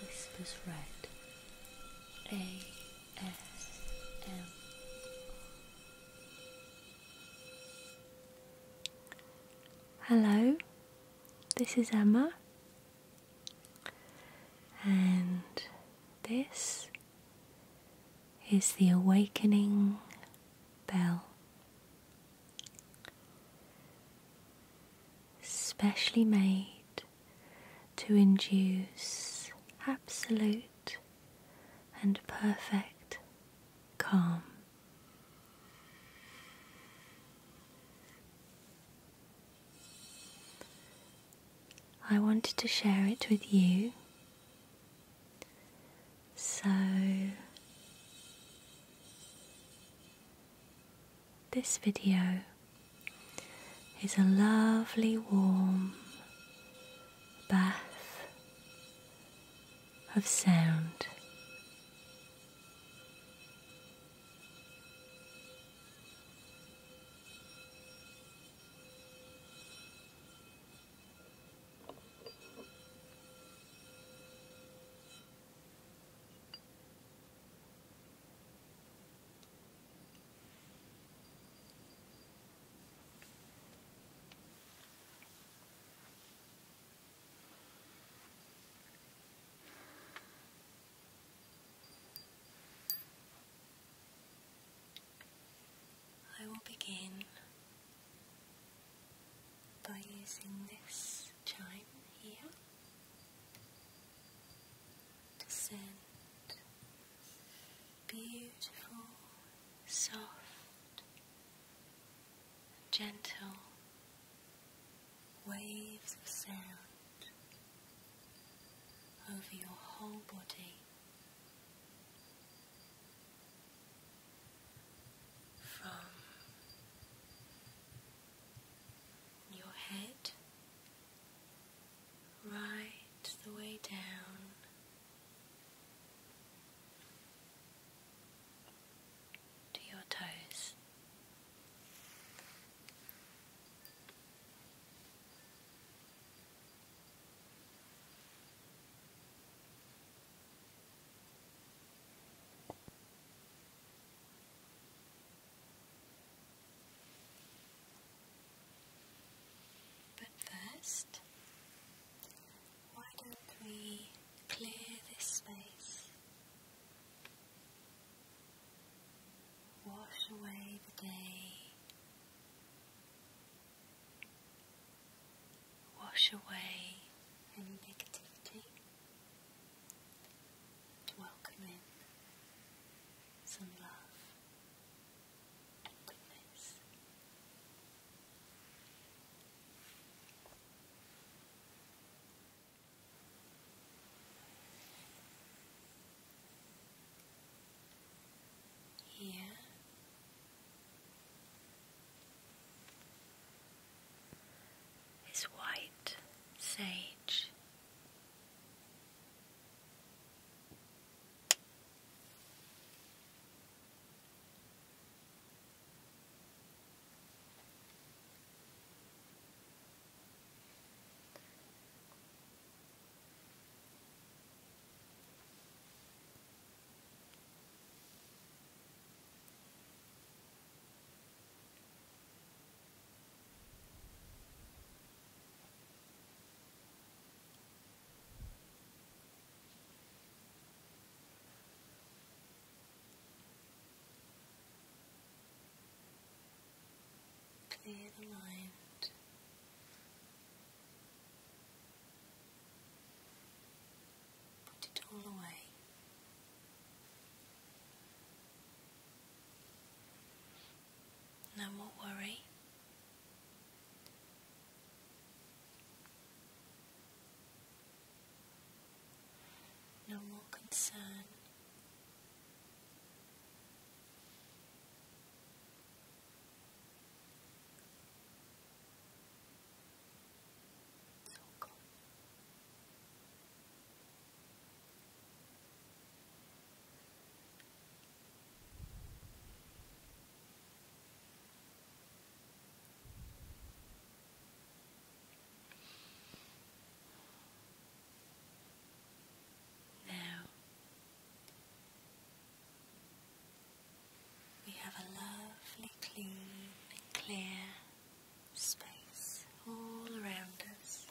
Whispers Red ASM Hello, this is Emma, and this is the awakening bell specially made to induce absolute and perfect calm. I wanted to share it with you. So this video is a lovely warm bath of sound. I will begin by using this time here to send beautiful, soft, gentle waves of sound over your whole body. From your head right the way down. To your toes. But first, why don't we clear this space? Wash away the day, wash away any negativity to welcome in some love and goodness. Yeah is white sage. Clear the mind. Put it all away. No more worry. No more concern. It's all now we have a lovely, clean, and clear space all around us.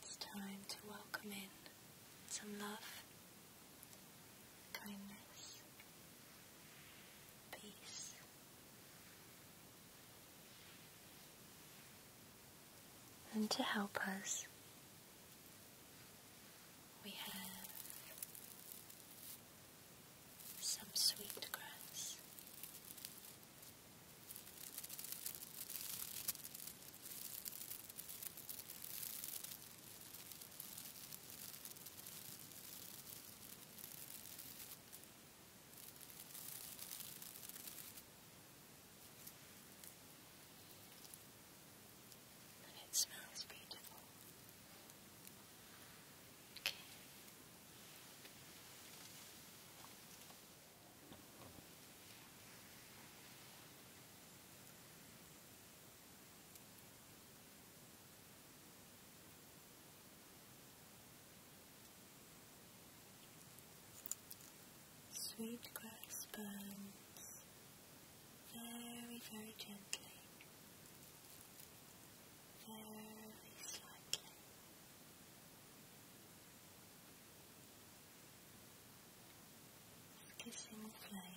It's time to welcome in some love, kindness, peace. And to help us we have some sweet grass and it smells beautiful. Okay. Sweet grass burns very, very gently, very slightly. Kissing flame.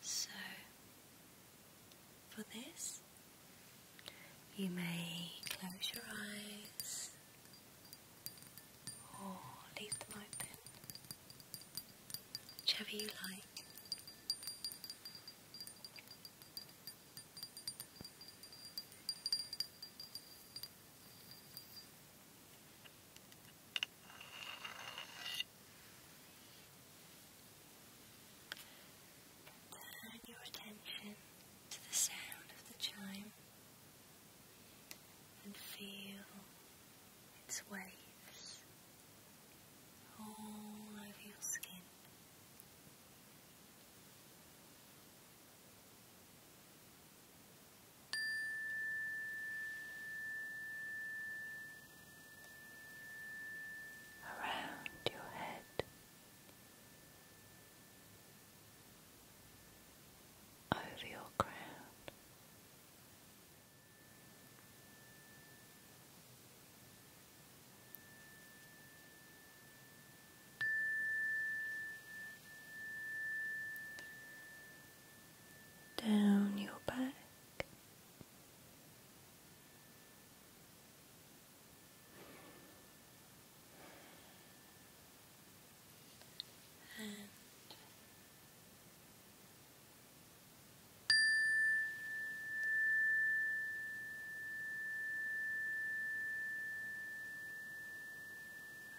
So, for this, you may close your eyes or leave them open, whichever you like. Turn your attention to the sound of the chime and feel its waves all over your skin around your head, over your crown. Down your back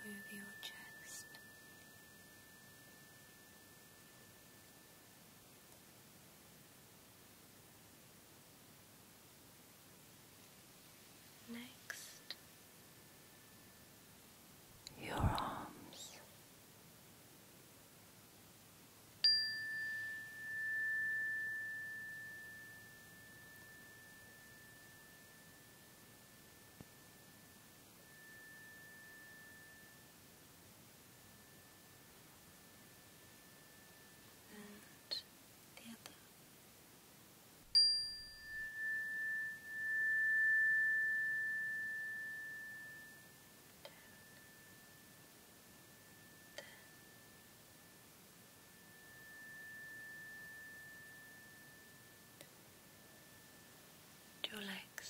and move your chest. Next, your arms and the other. Down. There. Your legs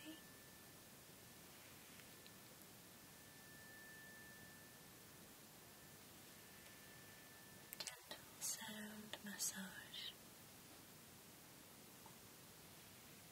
Okay. Gentle sound massage.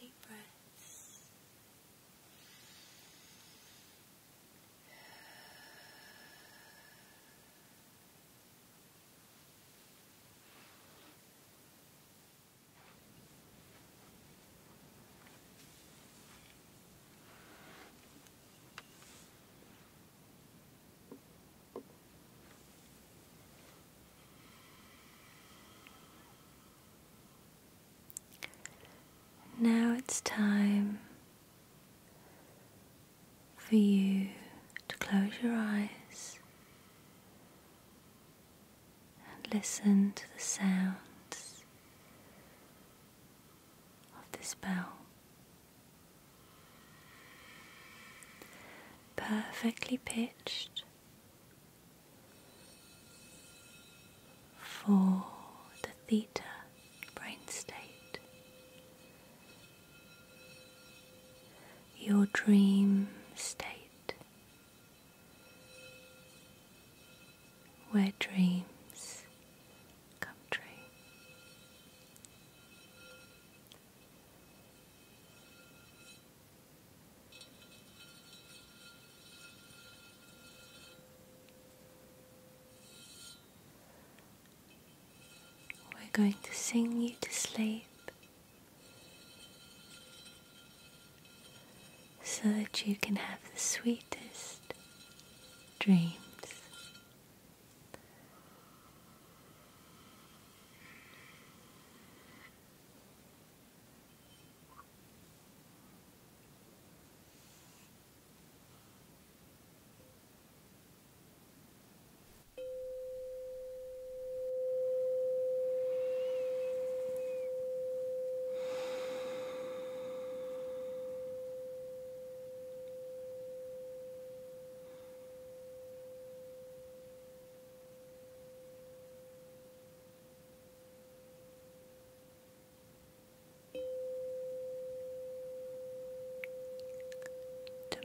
Deep breaths. Now it's time for you to close your eyes and listen to the sounds of this bell, Perfectly pitched for the theta brain state. Your dream state where dreams come true. We're going to sing you to sleep so that you can have the sweetest dreams.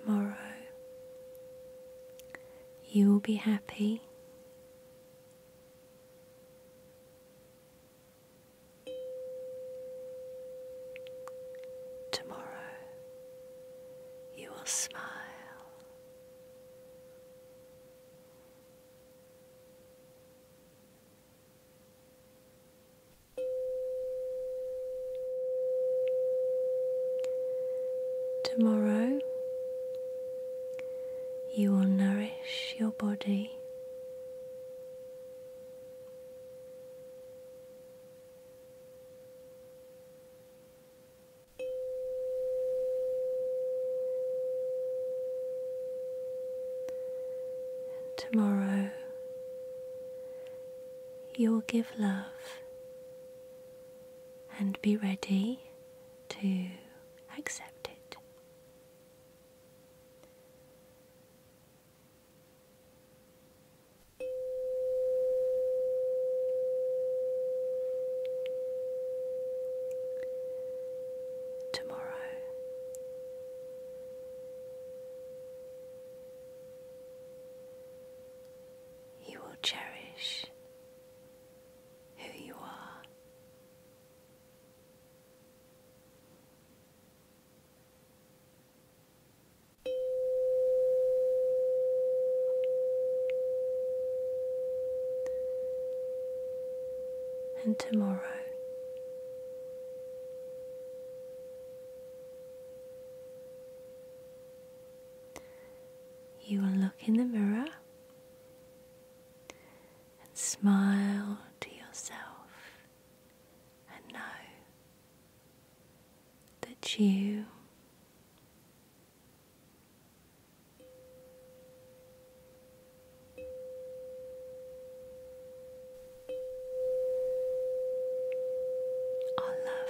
Tomorrow you will be happy. Tomorrow you will smile. Tomorrow you will nourish your body tomorrow you will give love and be ready to accept it. Tomorrow. You will cherish who you are and tomorrow. You will look in the mirror and smile to yourself and know that you are love.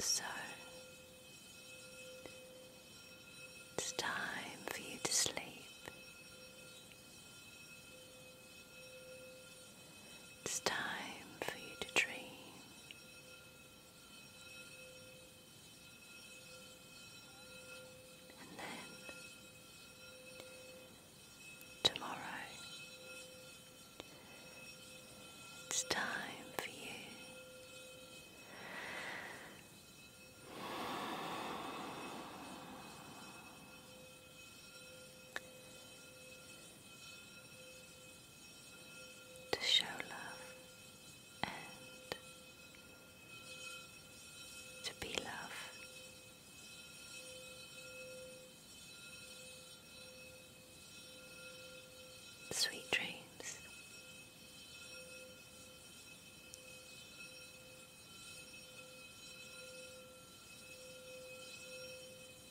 So it's time for you to sleep. It's time for you to dream. And then tomorrow it's time for you to show love and to be love. Sweet dreams.